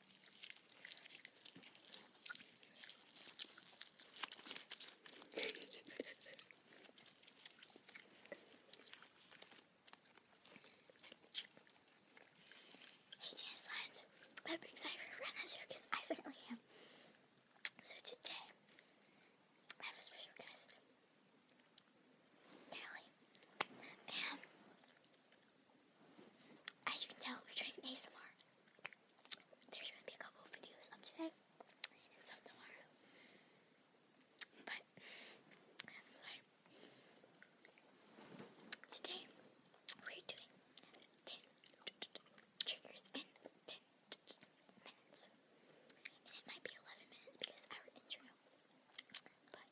18 slides. I'm excited for Ren as because I certainly am. So today, I have a special guest, Kelly, as you can tell, we're doing ASMR. There's gonna be a couple of videos up today and some tomorrow. But Today we're doing ten triggers in ten minutes. And it might be eleven minutes because our intro. But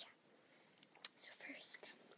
yeah. So first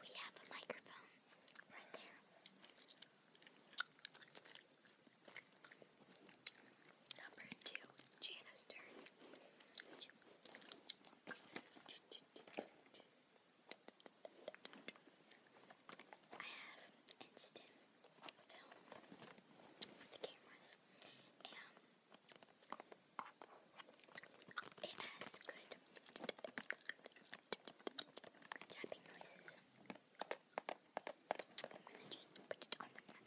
We have a microphone right there. Number two, Janice Stern. I have instant film with the cameras, and it has good tapping noises. I'm gonna just put it on the mic.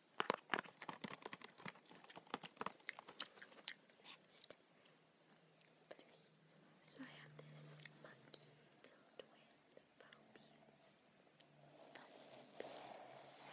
Next, believe. So I have this monkey filled with foam beads. Foam beads. Foam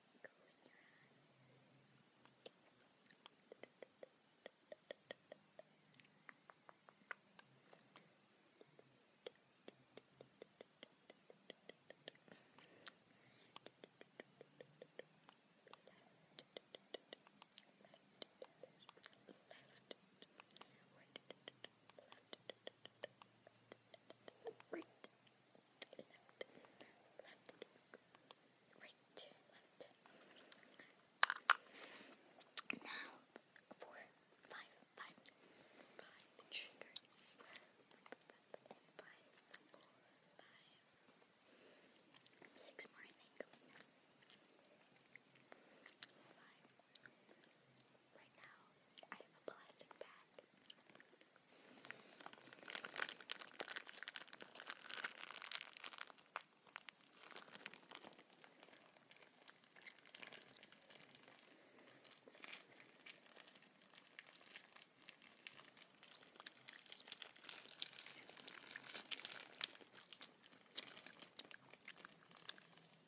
twinkle in your eyes. Left, left, left, right, left, left, right, left, left, right, left. Now, four, five, five, five triggers. Five, four, five, six more, I think. Five, right now I have a plastic bag. I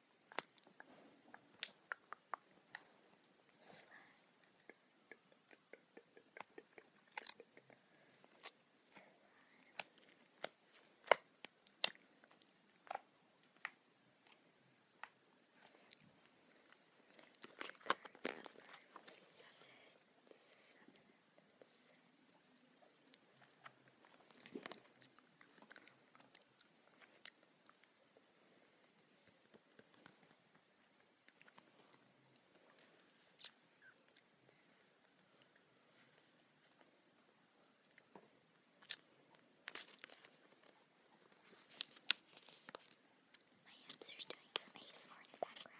Trigger number six. My hamster's doing some ASMR in the background.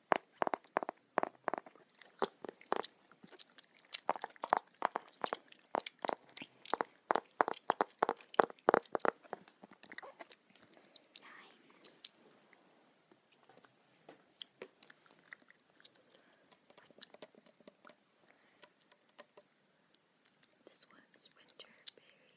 This one's winter berry.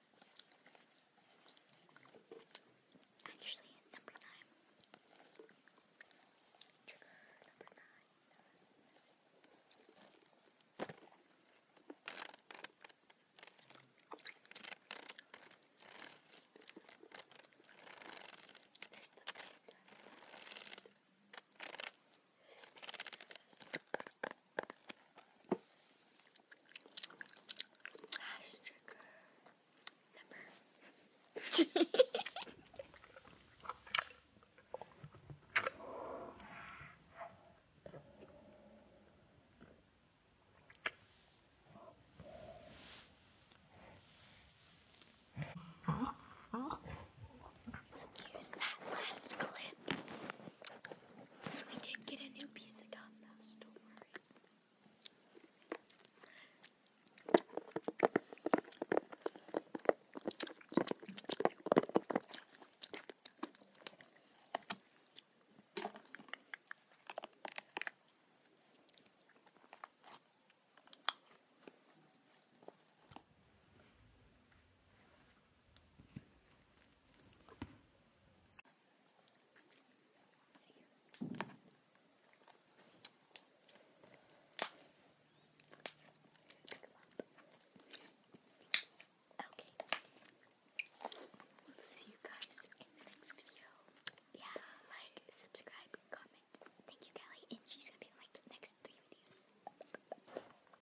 Actually, it's number nine. Trigger number nine. There's the bed. Ash trigger number. Excuse that last clip. We did get a new piece of gum though, don't worry. Okay. We'll see you guys in the next video. Yeah, like, subscribe, comment. Thank you, Kelly. And she's gonna be in like the next three videos.